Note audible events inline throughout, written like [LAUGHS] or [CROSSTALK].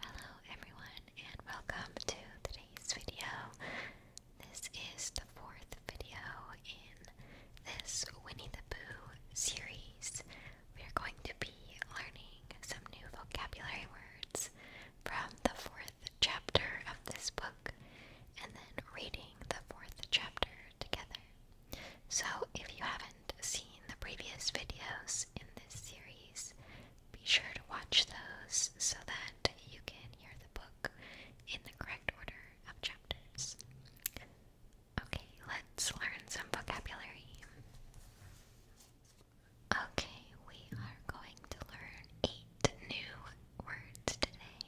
Hello everyone and welcome to today's video. This is the fourth video in this Winnie the Pooh series. We are going to be learning some new vocabulary words from the fourth chapter of this book and then reading the fourth chapter together. So if you haven't seen the previous videos in this series, be sure to watch those so that you can hear the book in the correct order of chapters. Okay, let's learn some vocabulary. Okay, we are going to learn eight new words today,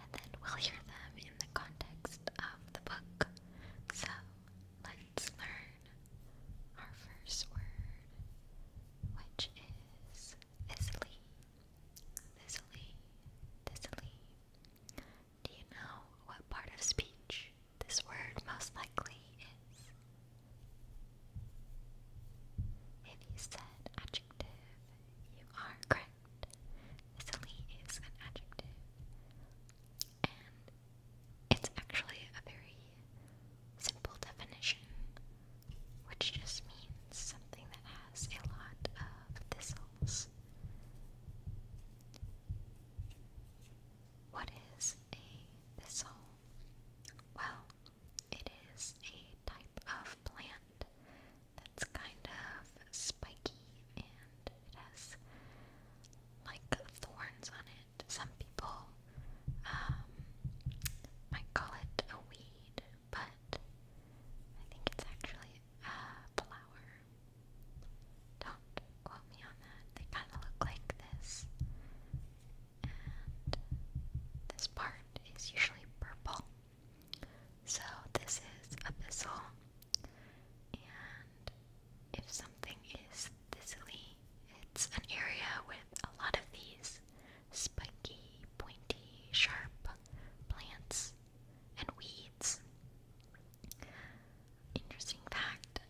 and then we'll hear them in the context of the book. So, let's Let's learn our first word, which is Isley. Isley. Isley. Do you know what part of speech this word most likely is? If you said adjective, you are correct. Isley is an adjective. And it's actually a very simple definition, which just means something that has a lot of thistles. What is a thistle? Well, it is a type of plant that's kind of spiky and it has like thorns on it. Some people um, might call it a weed, but I think it's actually a flower. Don't quote me on that. They kind of look like this. And this part is usually purple. So this is abyssal. And if something is Sicily. It's an area with a lot of these spiky, pointy, sharp plants and weeds. Interesting fact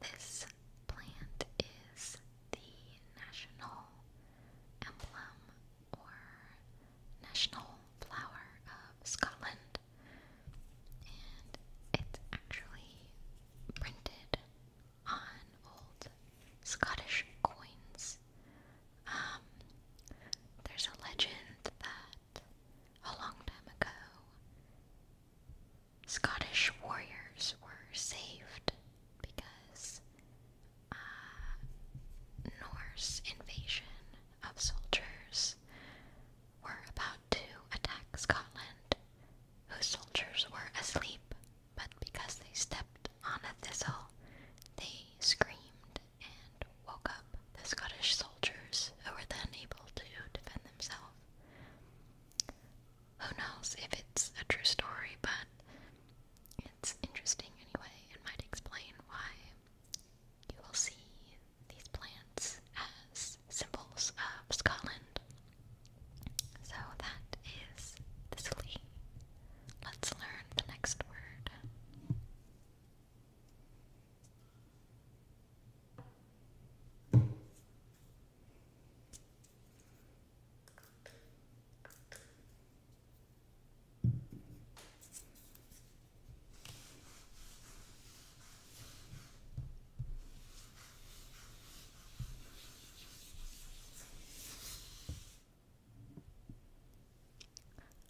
this plant is the national emblem or national flower of Scotland, and it's actually printed on old Scottish coins. Um, there's a legend that a long time ago, Scottish warriors were saved because uh, Norse invasion of soldiers were about to attack Scotland whose soldiers were asleep, but because they stepped on a thistle, they screamed and woke up the Scottish soldiers, who were then able to defend themselves. Who knows if it's a true story, but it's interesting anyway and might explain why you will see these plants as symbols of Scotland so that is sleep. Let's learn the next word.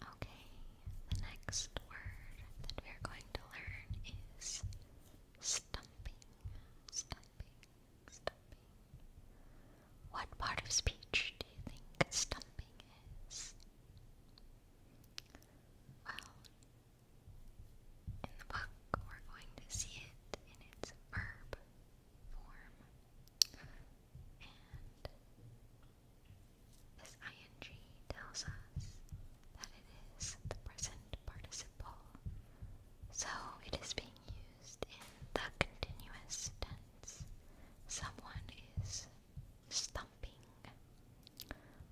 Okay, the next word that we are going to learn is stumping. Stumping, stumping. What part of speech do you think stumping is? Well, in the book, we're going to see it in its verb form. And this ing tells us that it is the present participle. So it is being used in the continuous tense. Someone is stumping.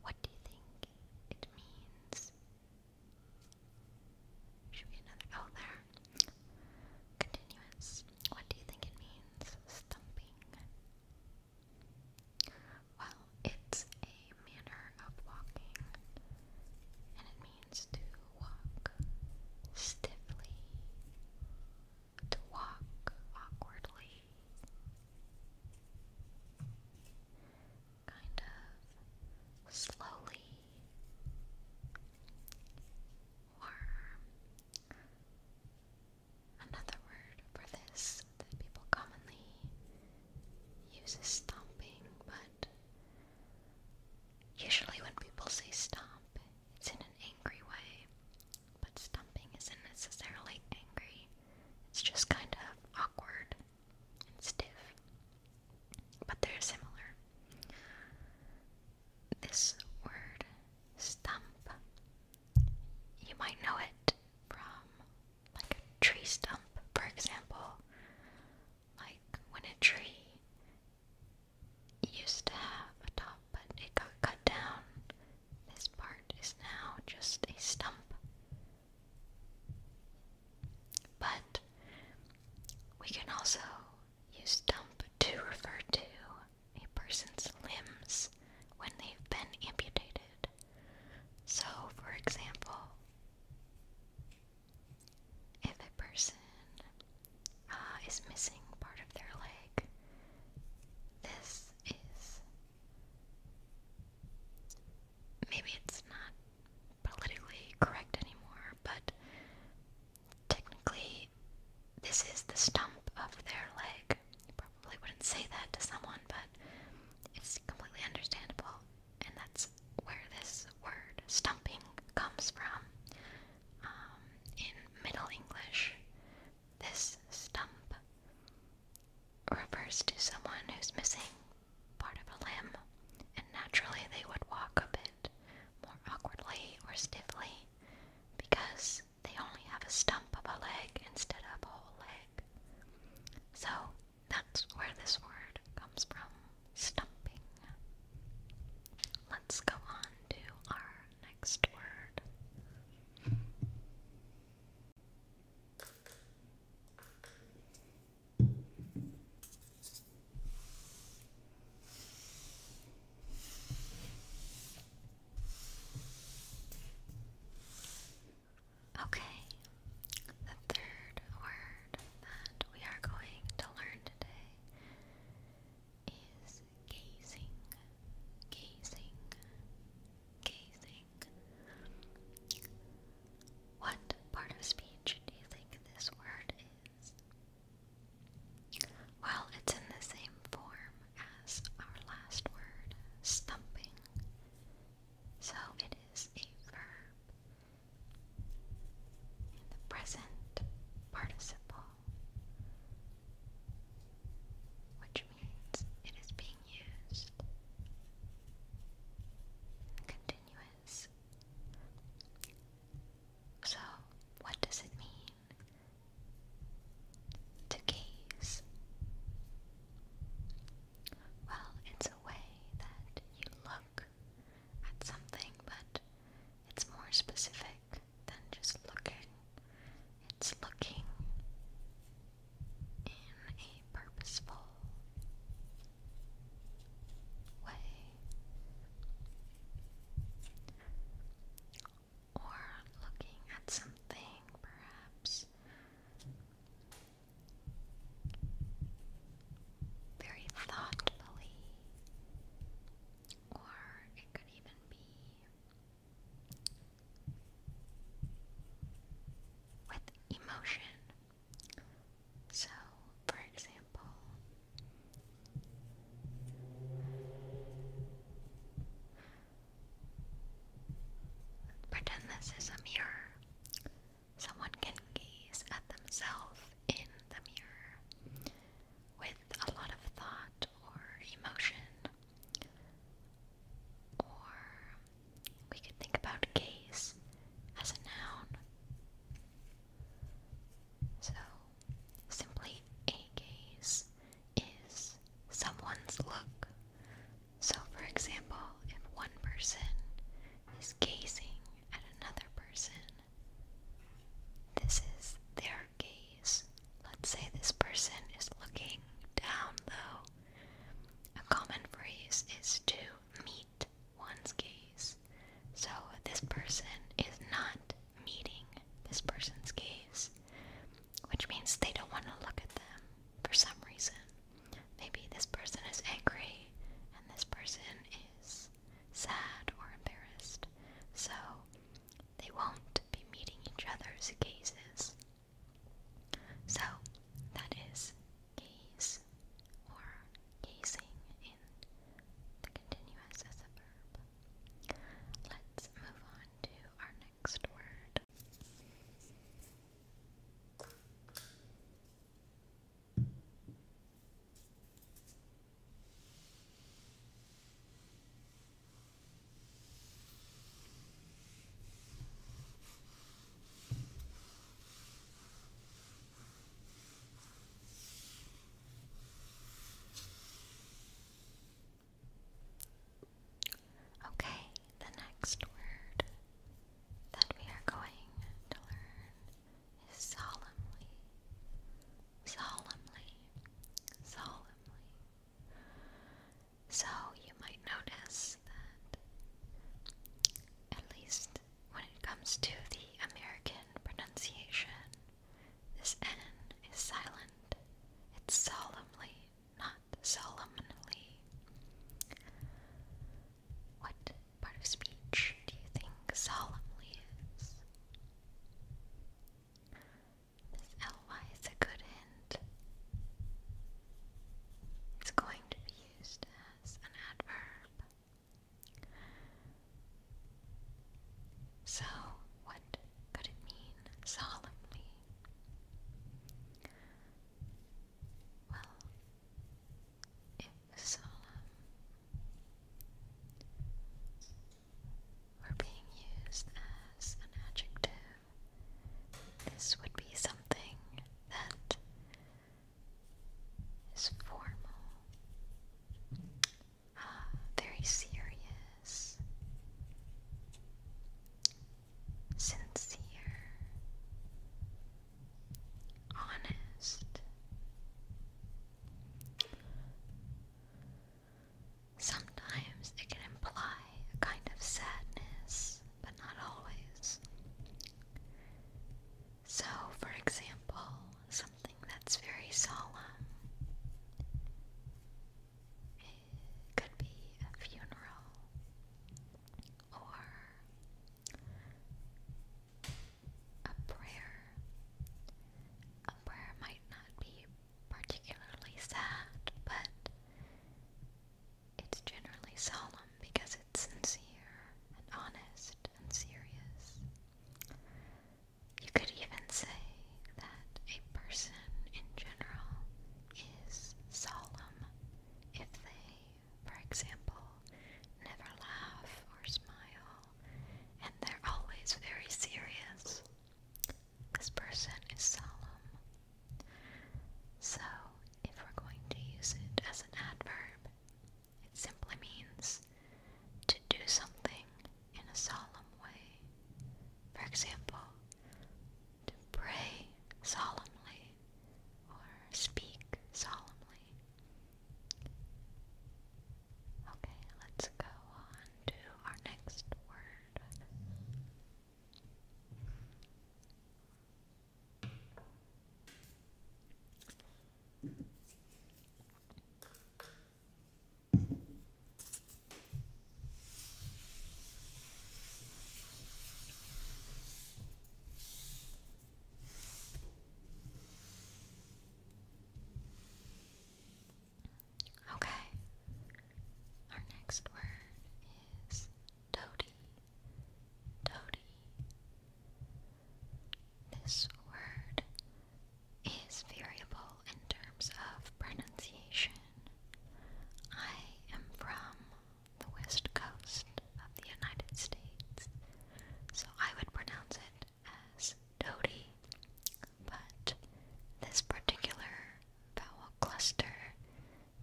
What do you think it means should be another oh there. Continuous. What do you think it means? Stumping. Well, it's a manner of walking. And it means to walk stiffly. To walk awkwardly kind of slowly or another word for this that people commonly use is stomping, but usually when people say stomp, it's in an angry way. But stomping isn't necessarily angry, it's just kind of awkward and stiff, but they're similar. This word, stump, you might know it from like a tree stump, for example. Like when a tree used to have a top, but it got cut down, this part is now just a stump. But we can also use stump to refer to a person's limbs when they've been amputated. So, for example, if a person uh, is missing part of their leg, this is. Maybe it's not politically correct anymore, but technically, this is the stump of their leg. probably wouldn't say that to someone, but it's completely understandable, and that's where this word stumping comes from. Um, in Middle English, this stump refers to someone who's missing part of a limb, and naturally they would walk a bit more awkwardly or stiffly because they only have a stump of a leg instead of a whole leg. So that's where this word comes from stumping. Let's go on to our next word. Okay, the third word that we are going to learn today is gazing, gazing, gazing. What part of speech do you think this word is? Well, it's in the same form as our last word, stumping. So it is a verb in the present participle, which means it is being used in so, what does it mean to gaze? Well, it's a way that you look at something, but it's more specific than just looking. It's looking in a purposeful way. Or looking at something, perhaps very thoughtfully, or it could even be with emotion. So, for example, pretend this is a mirror. Someone can gaze at themselves in the mirror with a lot of thought or emotion. Or we could think about gaze as a noun. So, simply a gaze is someone's look. So, for example, if one person is gazing at another person, this is their gaze. Let's say this person is looking down, though. A common phrase is to meet one's gaze. So this person is not meeting this person's gaze, which means they don't want to look at them for some reason. Maybe this person is angry and this person is sad or embarrassed. So they won't be meeting each other's gazes. So that is gaze or gazing in the continuous as a verb. Let's move on to our next word. Okay, the next word that we are going to learn is solemnly. Solemnly. Solemnly. So you might notice that at least when it comes to the American pronunciation, this N is silent. It's solemnly, not solemnly. What part of speech do you think solemnly is? This ly is a good hint. It's going to be used as an adverb. So, what could it mean solemnly? Well, if solemn were being used as an adjective, this would be something that is formal, ah, very serious, sincere, honest. Sometimes it can imply a kind of sadness, but not always. So, for example, something that's very solemn it could be a funeral or a prayer. A prayer might not be particularly sad, but it's generally solemn because sincere and honest and serious? You could even say that a person in general is solemn if they, for example, never laugh or smile and they're always very serious. This person is solemn. So, if we're going to use it as an adverb, it simply means to do something in a solemn way. For example, to pray solemnly or speak solemnly. Okay, let's go on to our next word. Okay. Our next word is toady. Toady. This word is variable in terms of pronunciation. I am from the west coast of the United States, so I would pronounce it as Dodie, but this particular vowel cluster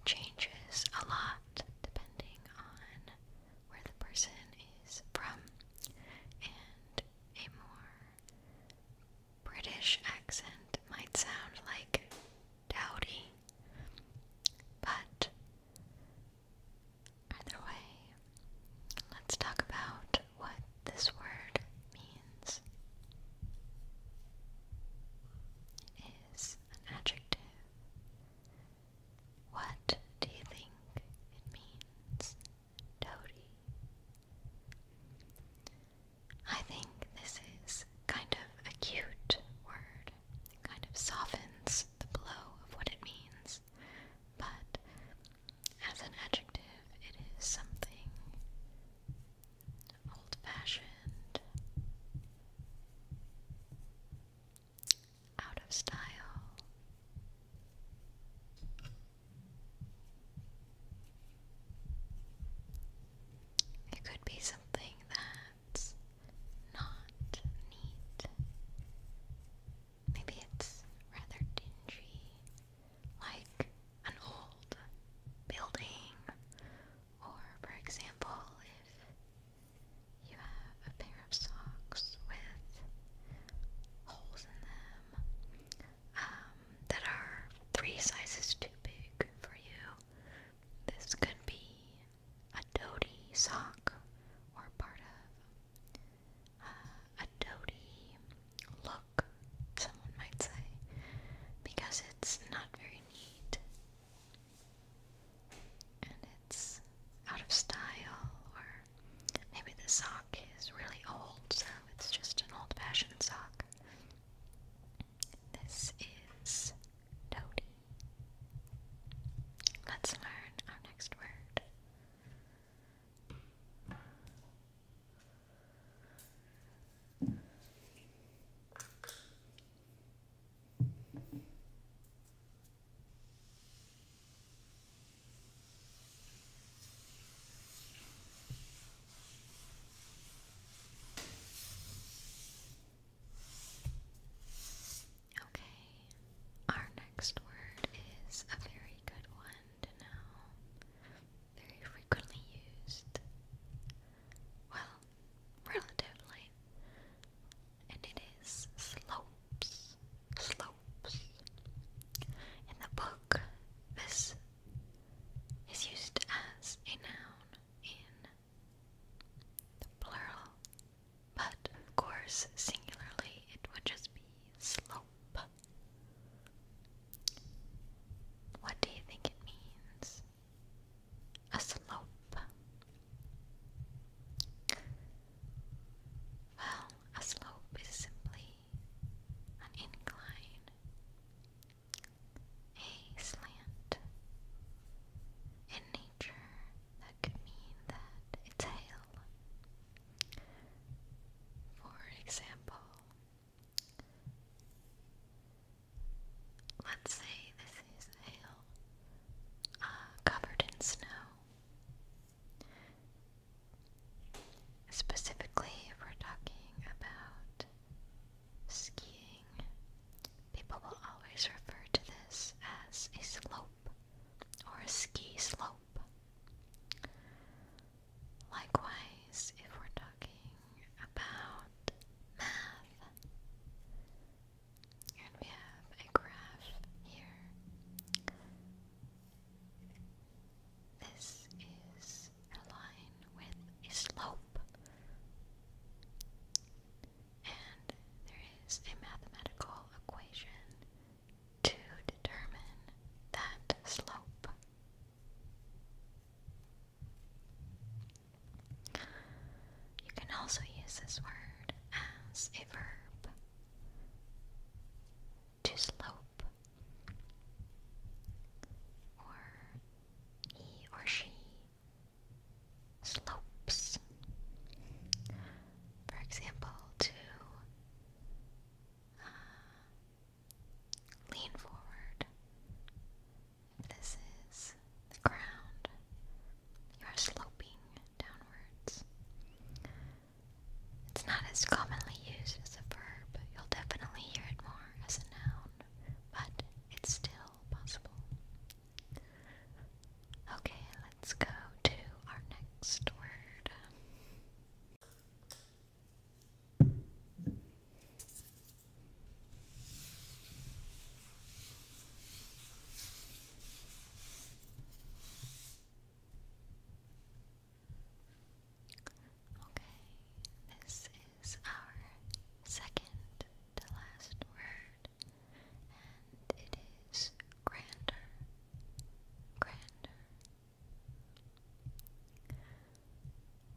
changes a lot depending on where the person is from and a more British accent might sound like dowdy, but either way, let's talk about what this word means. It is an adjective what do you think it means, Dodie? I think this is kind of a cute word. kind of softens the blow of what it means, but as an adjective, it is something old fashioned out of style. It could be something that's not neat. Maybe it's rather dingy, like an old building, or for example, if you have a pair of socks with holes in them um, that are three sizes too big for you. This could be a dotty sock or part of uh, a dotty look, someone might say, because it's not very neat. And it's out of style or Maybe the sock is really old, so it's just an old fashioned sock. This is toady. Let's learn our next word. Okay, our next word is a very good one to know, very frequently used. Well, relatively and it is slopes, slopes. In the book, this is used as a noun in the plural, but of course, singularly, it would just be slope. What do you think it means? A slope. Well, a slope is simply an incline, a slant. In nature, that could mean that it's hail. For example, let's say this is hail uh, covered in snow. Specifically, if we're talking about skiing, people will always refer to this as a slope or a ski slope. Likewise, if we're talking about math, and we have a graph here. This is a line with a slope. And there is a mathematical equation to determine that slope. You can also use this word as a verb to slope, or he or she slopes. For example, to uh, lean forward. If this is the ground, you are sloping downwards. It's not as commonly used as a verb. You'll definitely hear it more as a noun, but it's still possible. Okay, let's go to our next word. Okay, this is our second to last word, and it is grander. Grander.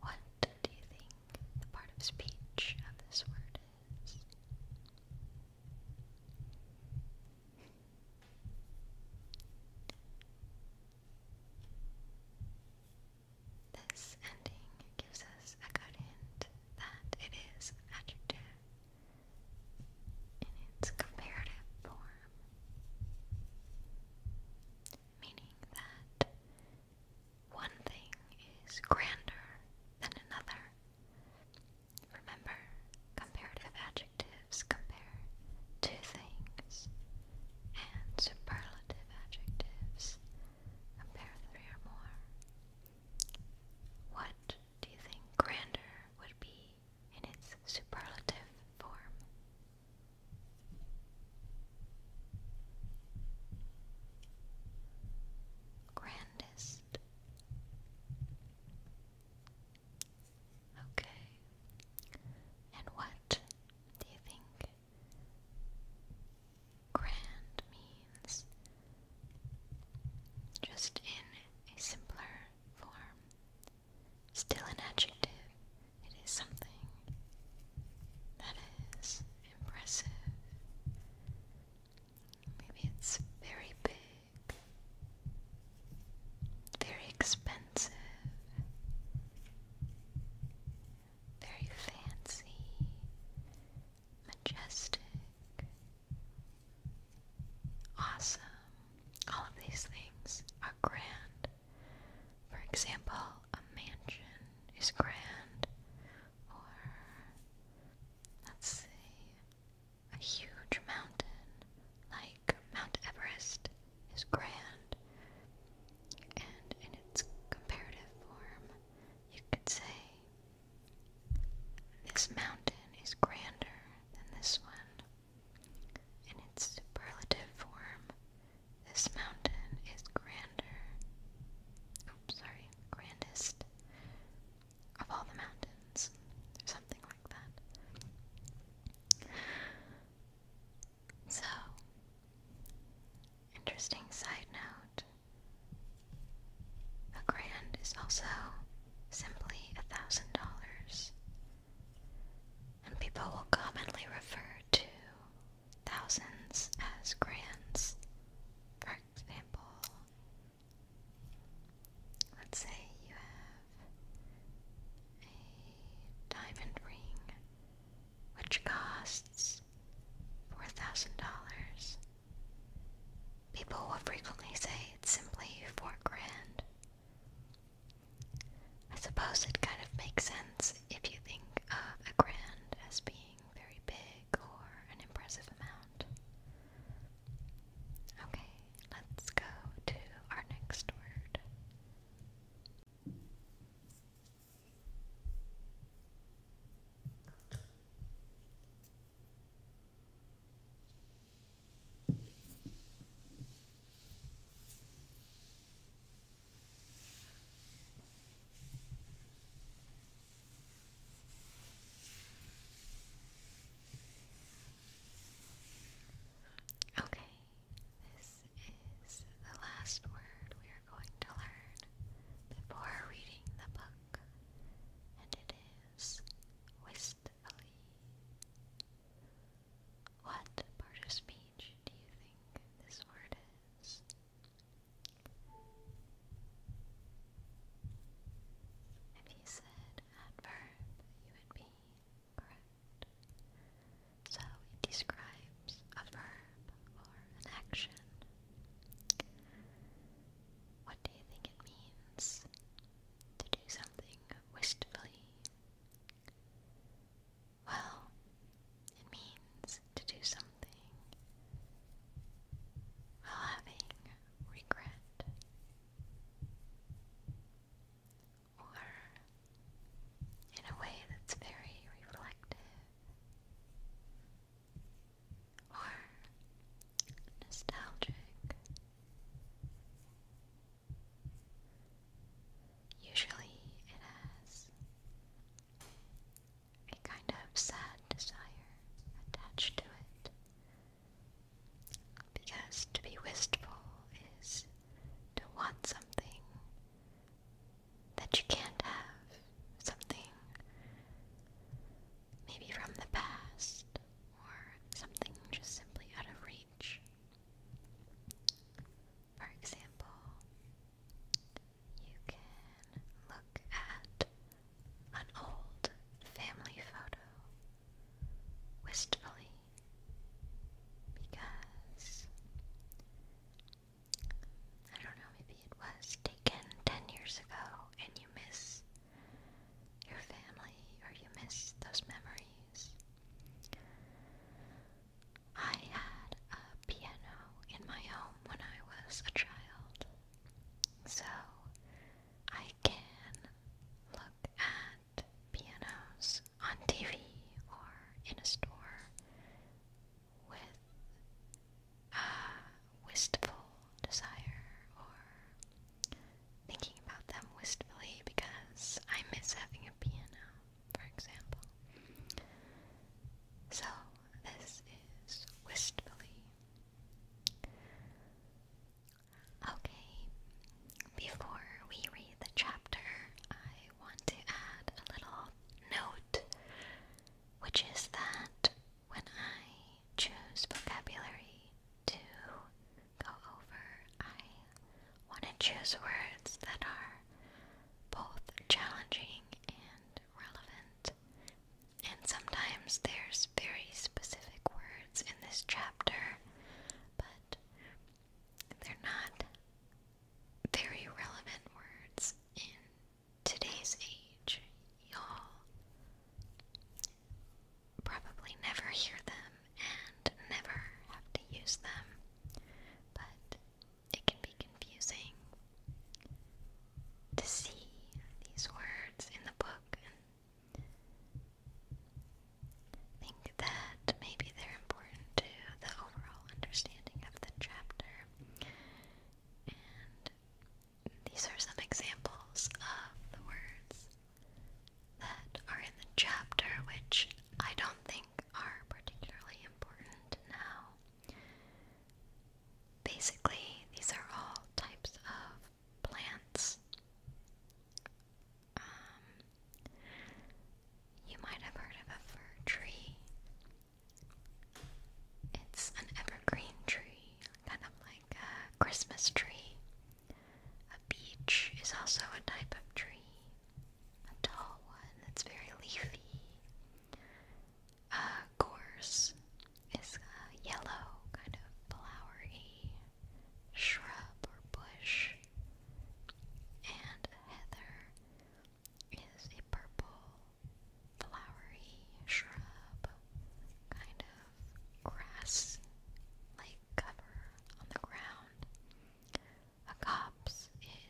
What do you think the part of speech of this word is? This ending gives us a good hint that it is adjective in its comparative form, meaning that one thing is grander than another, Remember, comparative adjectives compare two things, and superlative adjectives compare three or more. What do you think grander would be in its superlative form? Grandest. Okay. And what do you think grand means? Just in a simpler form. Still an adjective, it is something that is impressive. Maybe it's very big very expensive, very fancy, majestic, awesome. All of these things are grand. For example, a mansion is grand, or let's see, a huge mountain, like Mount Everest, is grand, and in its comparative form, you could say this mountain is grander than this one. In its superlative form, this mountain is grander. sorry, grandest of all the mountains something like that. So, interesting side note a grand is also simply a thousand dollars, and people will commonly refer to thousands as grands. For example, let's say you have a diamond ring which costs $4,000. People will frequently say it's simply four grand. I suppose it kind of makes sense if you think of a grand as being very big or an impressive amount. Okay, let's go to our next word. Okay, this is the last word we are going to learn before reading the book, and it is wistfully. What part of speech do you think this word is? If you said adverb, you would be correct. So it describes a verb or an action. What do you think it means? To do something wistfully. Well, it means to do something while having regret or in a way that's very reflective or nostalgic. Usually it has a kind of sad desire attached to it because to be wistful is to want something that you can't have, something maybe from the past, or something just simply out of reach. For example, you can look at an old family photo wistfully because I don't know, maybe it was taken 10 years ago and you miss your family or you miss those memories. I had a piano in my home when I was a child, so I can look at at pianos on TV or in a store with a wistful desire or thinking about them wistfully because I miss having a piano, for example. So, this is wistfully. Okay, before we read the chapter, I want to add a little note, which is that when I choose vocabulary to go over, I want to choose words that are both challenging and relevant. And sometimes there's very specific words in this chapter, but they're not very relevant words in today's age. Y'all probably never hear them and never have to use them, but it can be confusing to see these words in the book think that maybe they're important to the overall understanding of the chapter. And these are some examples of the words that are in the chapter, which I don't think are particularly important now. Basically, these are all types of plants um, you might have heard of a fir tree. It's an evergreen tree, kind of like a Christmas tree. A beech is also a type of tree, a tall one that's very leafy. A gorse is yellow, kind of flowery shrub or bush, and heather is a purple, flowery shrub, kind of grass like cover on the ground. A copse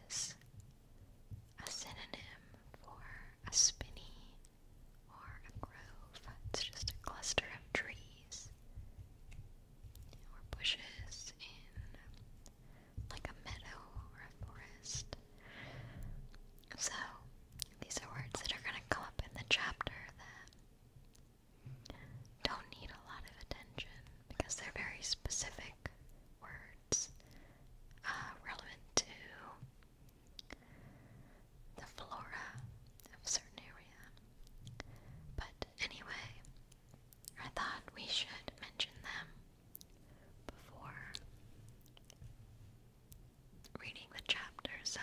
is a synonym for a spinney or a grove. It's just a cluster of trees or bushes in like a meadow or a forest. So, these are words that are going to come up in the chapter that don't need a lot of attention because they're very specific words uh, relevant to the flora of certain area. But anyway, I thought we should mention them before reading the chapter. So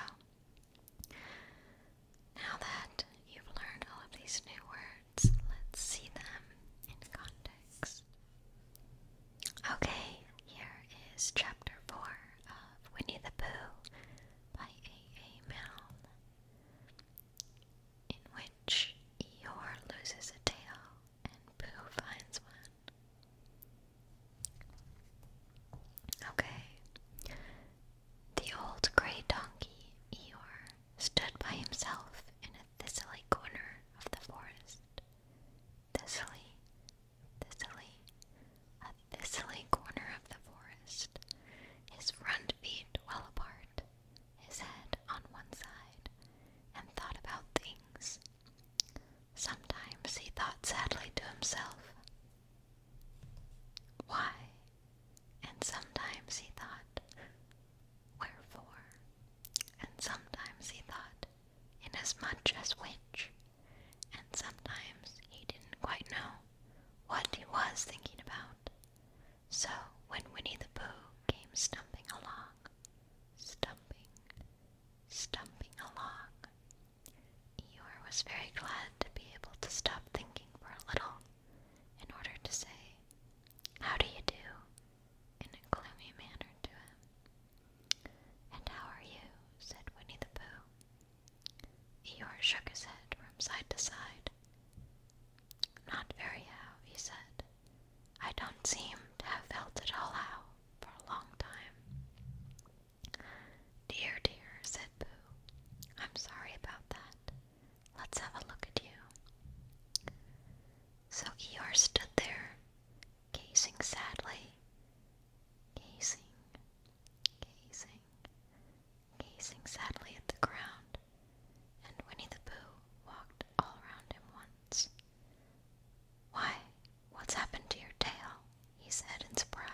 now that you've learned all of these new words, let's see them in context. Okay, here is chapter 4 of Winnie the Pooh by A.A. Milne in which Eeyore loses a tail and Pooh finds one. Okay. The old grey donkey, Eeyore, stood by himself in a thistly corner of the forest. Thistly, thistly, a thistly corner of the forest his front feet well apart, his head on one side, and thought about things. Sometimes he thought sadly to himself, Why? And sometimes he thought, Wherefore? And sometimes he thought, Inasmuch as which? And sometimes he didn't quite know what he was thinking about. So when Winnie the Pooh came stumping along, stumping, stumping along, Eeyore was very glad to be able to stop thinking for a little in order to say, How do you do? in a gloomy manner to him. And how are you? said Winnie the Pooh. Eeyore shook his head from side to side. Not very well, he said. I don't seem to have felt at all how for a long time. Dear, dear, said Boo. I'm sorry about that. Let's have a look at you. So Eeyore stood there, gazing sadly, gazing, gazing, gazing sadly at the ground, and Winnie the Pooh walked all around him once. Why, what's happened to your tail? he said in surprise.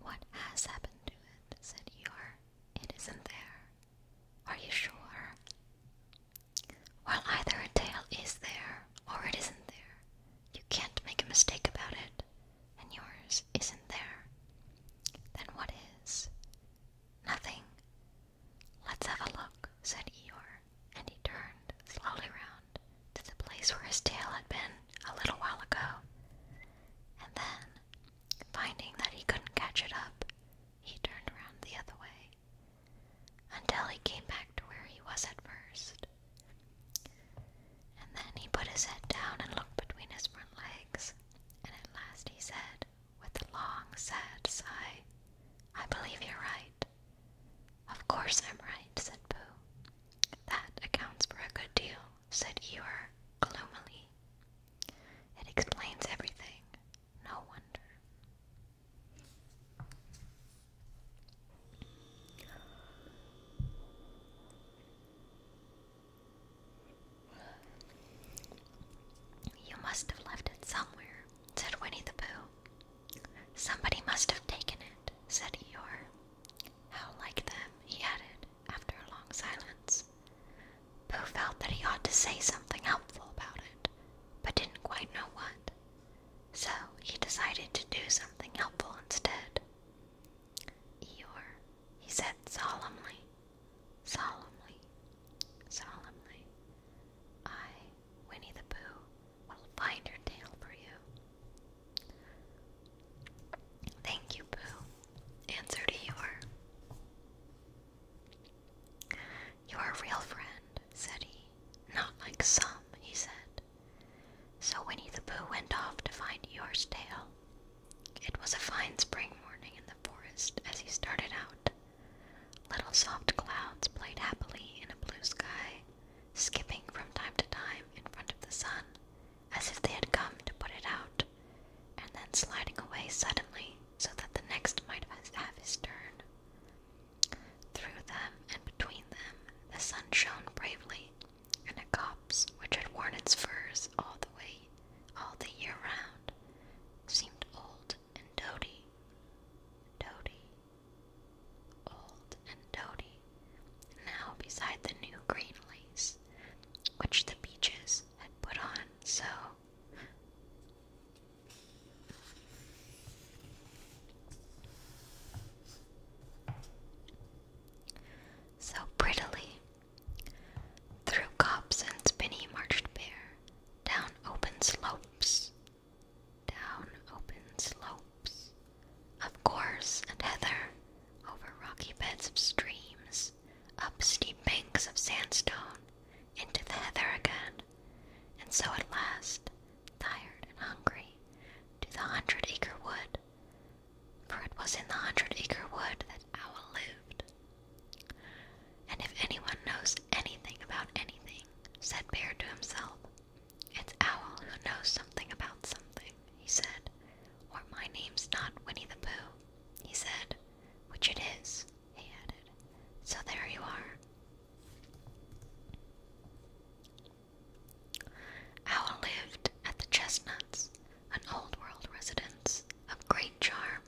What has happened to it? said Eeyore. It isn't there. Are you sure? Well, either a tail is there or it isn't there. You can't make a mistake about it, and yours isn't there. Then what is? Nothing. Let's have a look, said Eeyore and he turned slowly round to the place where his tail had been a little while ago. And then, finding that he couldn't catch it up, he turned round the other way until he came back to where he was at first. And then he put his head down and looked between his front legs, and at last he said, with a long, sad sigh, I believe you're right. Of course I'm right, said Pooh. That accounts for a good deal, said Eeyore gloomily. It explains everything. No wonder. You must have left it somewhere, said Winnie the Pooh. Somebody must have taken it, said Eeyore. How like them, he added, after a long silence. Pooh felt that he ought to say something helpful about it, but didn't quite know what. So he decided to do something helpful instead. Eeyore, he said solemnly, solemnly, solemnly, I, Winnie the Pooh, will find her tail for you. Thank you, Boo. Answer to your. You're a real friend, said he. Not like some, he said. So Winnie the Pooh went off to find Eeyore's tail. It was a fine spring morning in the forest as he started out. Little soft clouds played happily in a blue sky, skipping from time to time in front of the sun, as if they had come to put it out, and then sliding away suddenly so that the next might have his turn. Through them and between them the sun shone bravely, and the copse which had worn its furs all the way all the year round seemed old and dotty. Dotty, old and dotty, now beside the new green lace which the beeches had put on so so prettily. Through copse and spinney marched bare, down open slopes down open slopes of gorse and heather, over rocky beds of streams, up steep banks of sandstone, into the heather again, and so at last, tired and hungry, to the hundred acre wood, for it was in the hundred acre wood that Owl lived. And if anyone knows anything about anything, said Bear to himself, it's Owl who knows something about something, he said. Or my name's not Winnie the Pooh, he said. Which it is, he added. So there you are. Owl lived at the Chestnuts, an old world residence of great charm,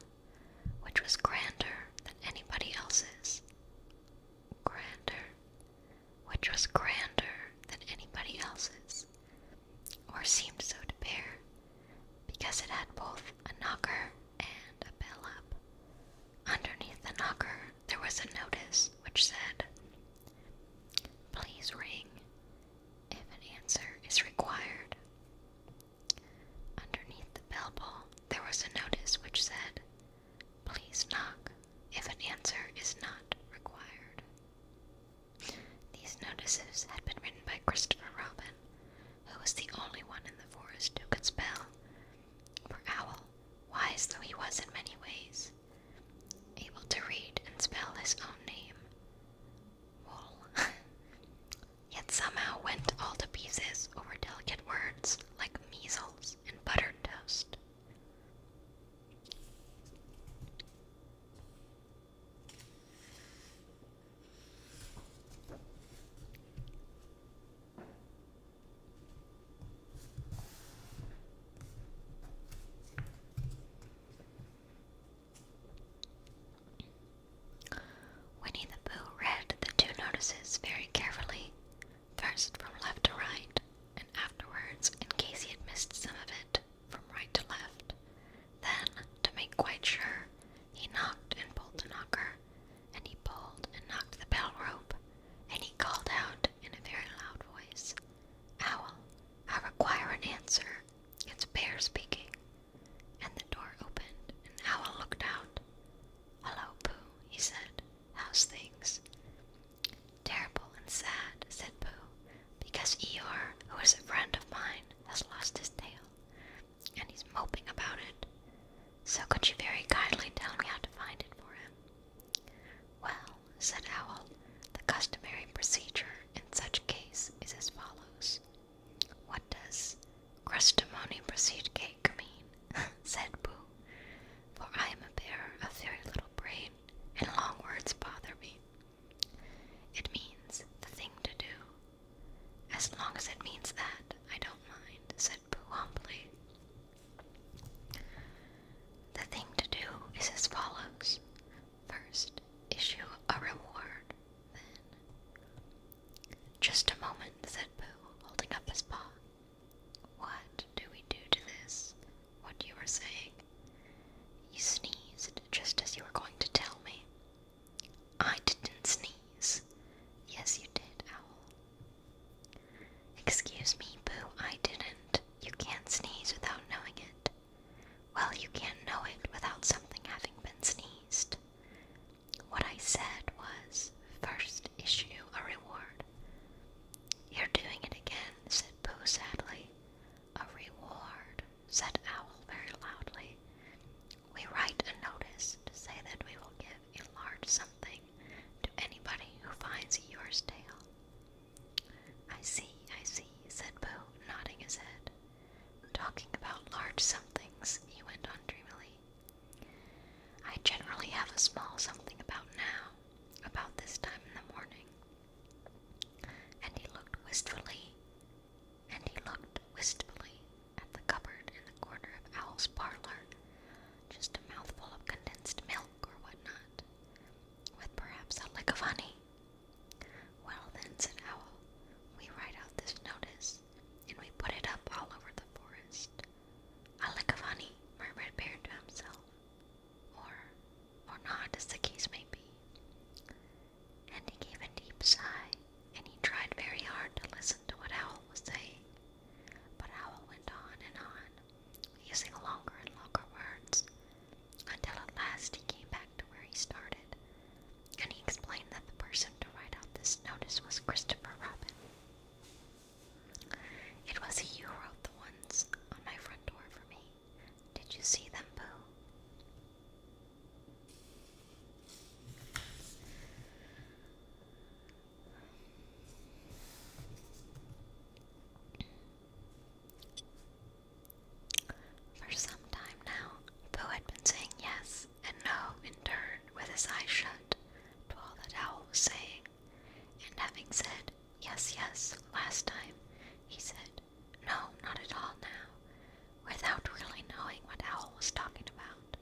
which was grander than anybody else's. Grander? which was grander than anybody else's, or seemed so to bear, because it had both a knocker and a bell up. Underneath the knocker, there was a notice which said, Please ring if an answer is required. Underneath the bell bowl, there was a notice which said, Please knock if an answer is not required. These notices had been written by Christopher Robin, who was the only one in the forest who could spell. For Owl, wise though he was in many ways, able to read and spell his own name, Wool, [LAUGHS] yet somehow went all to pieces over delicate words like measles and buttered toast. Winnie the Pooh read the two notices very carefully first from left to right, and afterwards, in case he had missed some of it, from right to left. Then, to make quite sure, he knocked and pulled the knocker, and he pulled and knocked the bell rope, and he called out in a very loud voice, Owl, I require an answer. It's Bear speaking. And the door opened, and Owl looked out. Hello, Pooh, he said. How's things? Terrible and sad, said Pooh, because Eeyore, who is a friend of mine, has lost his tail, and he's moping about it. So could you very kindly tell me how to find it for him? Well, said Owl, the customary procedure in such a case is as follows. What does 'customary procedure cake mean? [LAUGHS] said Pooh, for I am a bearer of very little brain, and long words bother me. It means the thing to do. As long as it means that, I don't mind, said Pooh humbly. The thing to do is as follows. First, issue a reward, then. Just a moment, said Pooh, holding up his paw. What do we do to this? What you were saying? You sneezed just as you were going to tell me. I didn't sneeze. Yes, you did, Owl. Excuse me, Boo, I didn't. You can't sneeze without knowing it. Well, you can't know it without something having been sneezed. What I said was first issue a reward. You're doing it again, said Pooh sadly. A reward, said Owl very loudly. We write a notice to say that we will give a large something to anybody who finds yours tail. I see, I see, said Pooh, nodding his head. Talking about large somethings, he went on dreamily. I generally have a small something about now, about this time in the morning. And he looked wistfully, and he looked wistfully at the cupboard in the corner of Owl's parlor, just a mouthful of condensed milk or whatnot, with perhaps a lick of honey. Well, then, said Owl, we write out this notice, and we put it up all over the forest. A lick of honey, murmured Bear to himself or or not, as the case may be. And he gave a deep sigh, and he tried very hard to listen to what Owl was saying. But Owl went on and on, using longer and longer words, until at last he came back to where he started, and he explained that the person to write out this notice was Christopher Robin. It was you who wrote the ones on my front door for me. Did you see them, Boo? For some time now, Boo had been saying yes and no in turn with his eyes shut to all that Owl was saying. And having said, Yes, yes, last time, he said, No, not at all now, without really knowing what Owl was talking about.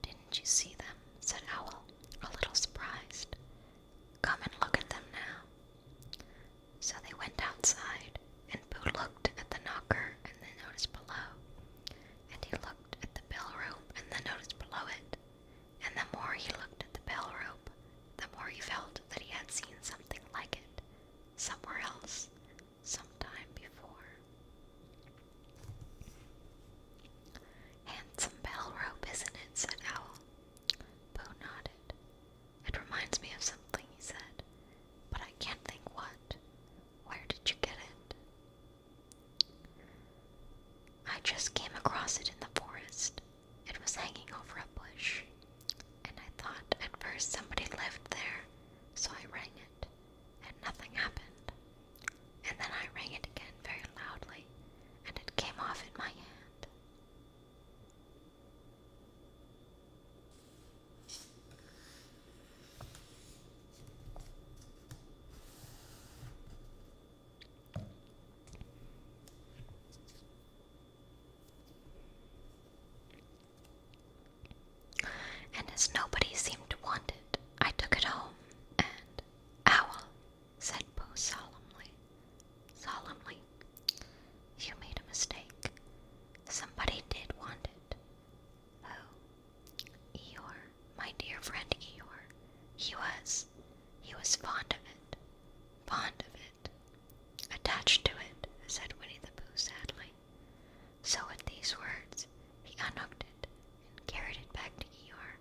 Didn't you see them? said Owl, a little surprised. Come and look at them now. So they went outside, and Boo looked at the knocker and the notice below, and he looked at the bill room and the notice below it, and the more he looked at the bell rope, the more he felt that he had seen something like it somewhere else, sometime before. Handsome bell rope, isn't it? said Owl. Poe nodded. It reminds me of something, he said, but I can't think what. Where did you get it? I just came across it in the forest. It was hanging over a bush, and I thought at first somebody lived there, so I rang it, and nothing happened. And then I rang it again very loudly, and it came off in my hand. And as nobody seemed to want it, I took it home and Owl, said Poe solemnly, solemnly, you made a mistake. Somebody did want it. Oh, Eeyore, my dear friend Eeyore, he was he was fond of it, fond of it, attached to it, said Winnie the Pooh sadly. So at these words, he unhooked it and carried it back to Eeyore.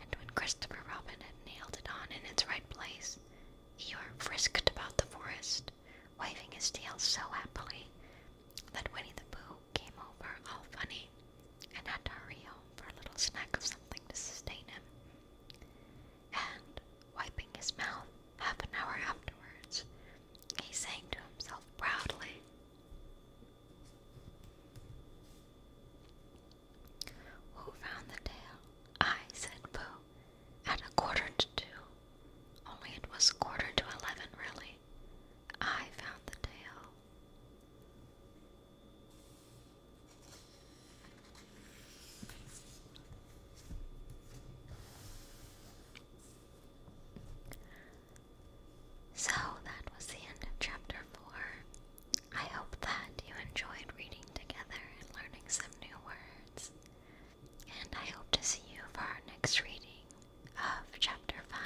And when Christopher Robin had nailed it on in its right place, Eeyore frisked about the forest, waving his tail so happily that Winnie the Pooh came over all funny and had to home for a little snack of something to sustain him. And, wiping his mouth half an hour afterwards, he sang to himself proudly. Who found the tail? I, said Pooh, at a quarter to two. Only it was quarter to eleven, really. I found the tail. So that was the end of chapter 4. I hope that you enjoyed reading together and learning some new words. And I hope to see you for our next reading of chapter 5.